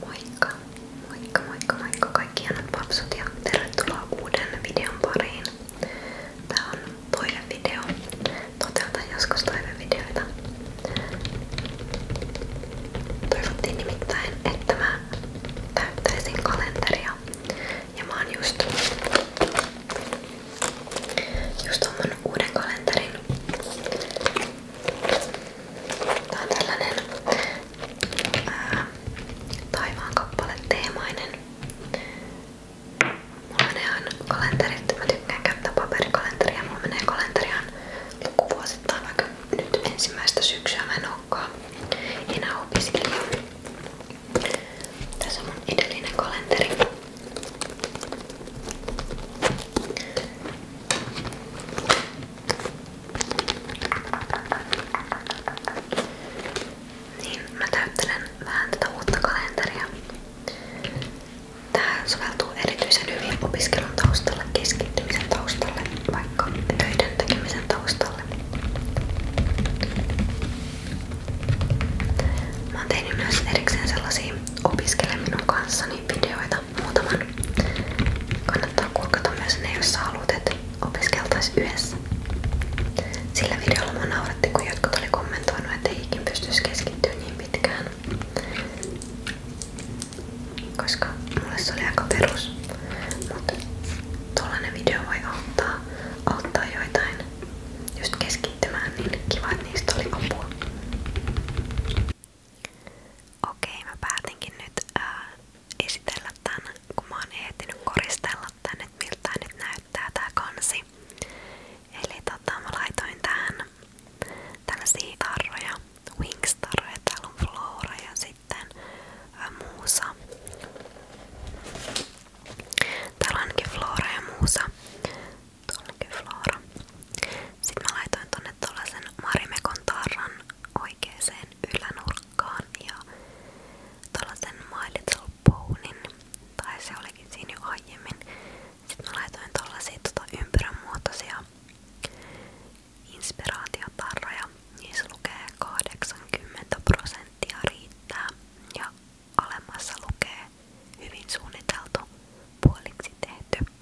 Moikka, moikka, moikka, moikka kaikki hienot papsut ja tervetuloa uuden videon pariin. Tää on toinen video. Toteutan joskus toivevideoita. Toivottiin nimittäin, että mä täyttäisin kalenteria. Ja mä oon just, just oon uuden kalenterin Tää on tällainen ää, taivaan kappale teemainen. Mulla menee aina kalenterit, mä tykkään käyttää paperikalenteria, mulla menee kalenteri on lukuvuosittain, vaikka nyt ensimmäistä syksyä mä en olekaan enää opiskelija. Tässä on mun edellinen kalenteri. Niin, mä täyttelen vähän tätä uutta kalenteria. Tää soveltuu erityisen hyvin opiskelun taustalle, keskittymisen taustalle, vaikka töiden tekemisen taustalle. Mä oon tehnyt erikseen sellaisia opiskele minun kanssani videoita kuokata muutaman. Kannattaa kuokata myös ne, jos sä haluat, että opiskeltaisiin yhdessä. Sillä videolla mä nauratti, kun jotkut oli kommentoinut, että ei ikin pystyisi keskittyä niin pitkään. Koska mulle se oli aika perus. Mutta tollanen video voi auttaa, auttaa joitain just keskittymään, niin kiva, että niistä oli apua. Okei, mä päätinkin nyt ää, äh, esitellä tän, kun mä oon ehtinyt koristella tän, että miltä tää nyt näyttää tää kansi. Eli tota, mä laitoin tähän tällaisia tarroja, Wings-tarroja, täällä on Flora ja sitten ää, äh, Muusa. Täällä on ainakin Flora ja Muusa. Tuollakin Flora. Sitten mä laitoin tonne tuollaisen Marimekon tarran oikeeseen ylänurkkaan ja tuollaisen My Little Bonin, tai se olikin siinä jo aiemmin. Sitten mä laitoin tuollaisia tota, ympyrän muotoisia inspiraatiotarroja. Niissä lukee 80 prosenttia riittää ja alemmassa lukee hyvin suunniteltu puoliksi tehty,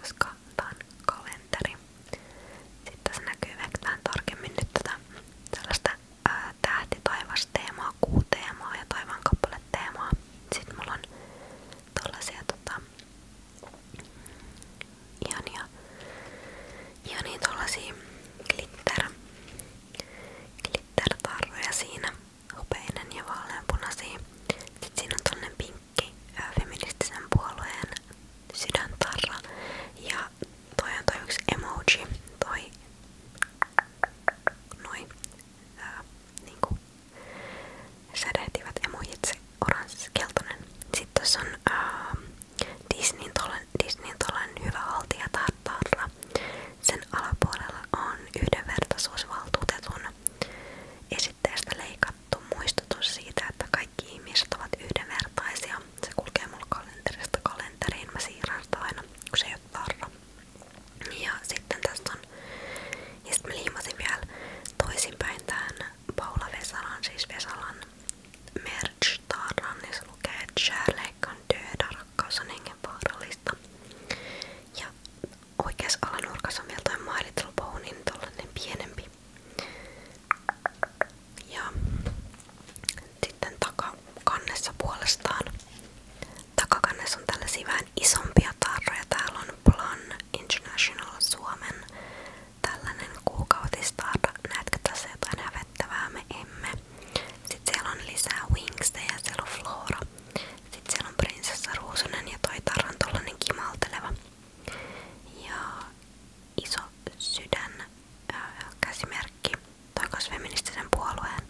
koska kantaan kalenteri. Sitten tässä näkyy vähän tarkemmin nyt tätä tällaista ää, tähtitaivasteemaa, kuuteemaa ja taivaankappaleteemaa. Sitten mulla on tällaisia tota, ihania, ihania tollasia glitter, glitter tarroja siinä, hopeinen ja vaaleanpunaisia. Sitten siinä on tollanen pink Linkki, feministisen puolueen sydäntarra ja toi on toi yksi emoji, toi noin ää, niinku sädehtivät emojit, se oranssi keltainen. Sitten tässä on ää, Disneyn tolen, Disneyn tolen hyvä haltija tarra. Sen alapuolella on yhdenvertaisuusvaltuutetun käsitteestä leikattu muistutus siitä, että kaikki ihmiset ovat Se kulkee mulla kalenterista kalenteriin. Mä siirrän sitä aina, kun Ja sitten tässä on, ja sitten vielä toisinpäin tämän Paula Vesalan, siis Vesalan merch-tarran, on döda, rakkaus Ja oikeassa alanurkassa on vielä toi My Little pienempi oli. Ja sitten takakannessa puolestaan. Takakannessa on tällaisia vähän isompia tarroja. Täällä on Plan International Suomen tällainen kuukautistarra. Näetkö tässä jotain hävettävää? Me emme. Sitten siellä on lisää Wingsta ja siellä on Flora. Sitten siellä on Prinsessa Ruusunen ja toi tarra on tollanen kimalteleva. Ja iso sydän ää, äh, käsimerkki tai feministisen puolueen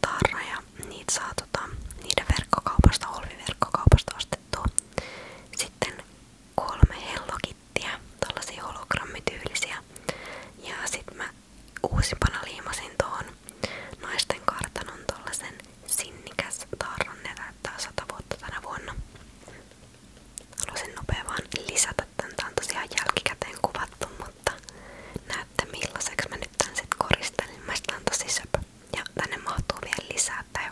tarra ja niitä saa tota, niiden verkkokaupasta, olviverkkokaupasta ostettua. Sitten kolme hellokittiä, tällaisia hologrammityylisiä. Ja sitten mä uusimpana liimasin tuohon naisten kartanon tollasen sinnikäs tarran, ne täyttää 100 vuotta tänä vuonna. Haluaisin nopea vaan lisätä tän. jälkikäteen kuvattu, mutta näytte millaiseksi mä nyt tän sit koristelin. Mä on tosi söpö. Ja tänne mahtuu vielä lisää, tää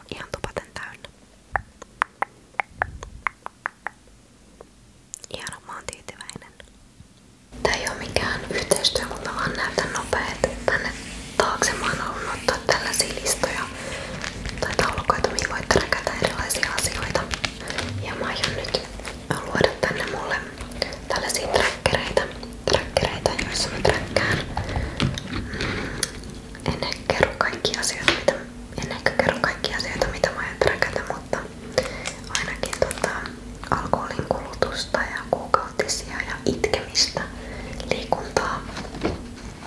ei mikään yhteistyö, mutta vaan näytän nopeet tänne taakse. Mä oon halunnut ottaa tällaisia listoja ja, tai taulukoita, mihin voitte räkätä erilaisia asioita. Ja mä aion nyt luoda tänne mulle tällaisia trackereita, trackereita joissa mä trackään. Mm, en ehkä kerro kaikkia asioita, mitä, en ehkä kerro kaikkia asioita, mitä mä aion trackata, mutta ainakin tota, alkoholin kulutusta ja kuukautisia ja itkemistä, liikuntaa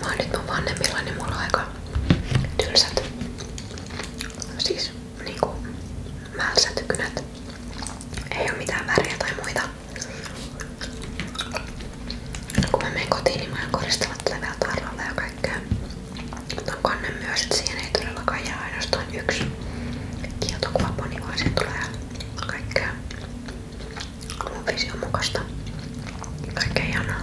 Mä oon nyt mun vanhemmilla, niin mulla on aika tylsät, siis niinku mälsät kynät. Ei oo mitään väriä tai muita. Kun mä menen kotiin, niin mä oon koristella tätä vielä tarralla ja kaikkea. Mutta on kannen myös, että siihen ei todellakaan jää ainoastaan yksi kieltokuvaponi, vaan siihen tulee kaikkea mun vision mukaista. Kaikkea ihanaa.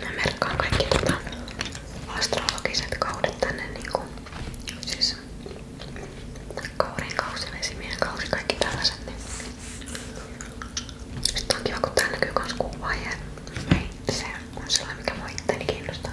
Mä merkkaan kaikki tota astrologiset kaudet tänne niinku siis kaurien kausi, vesimiehen kausi, kaikki tällaiset niin sitten on kiva kun tää näkyy kans kuvaaja ei se on sellainen mikä mua itteni kiinnostaa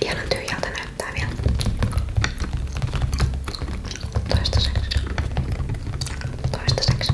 Ihanan tyhjältä näyttää vielä. Toistaiseksi. Toistaiseksi.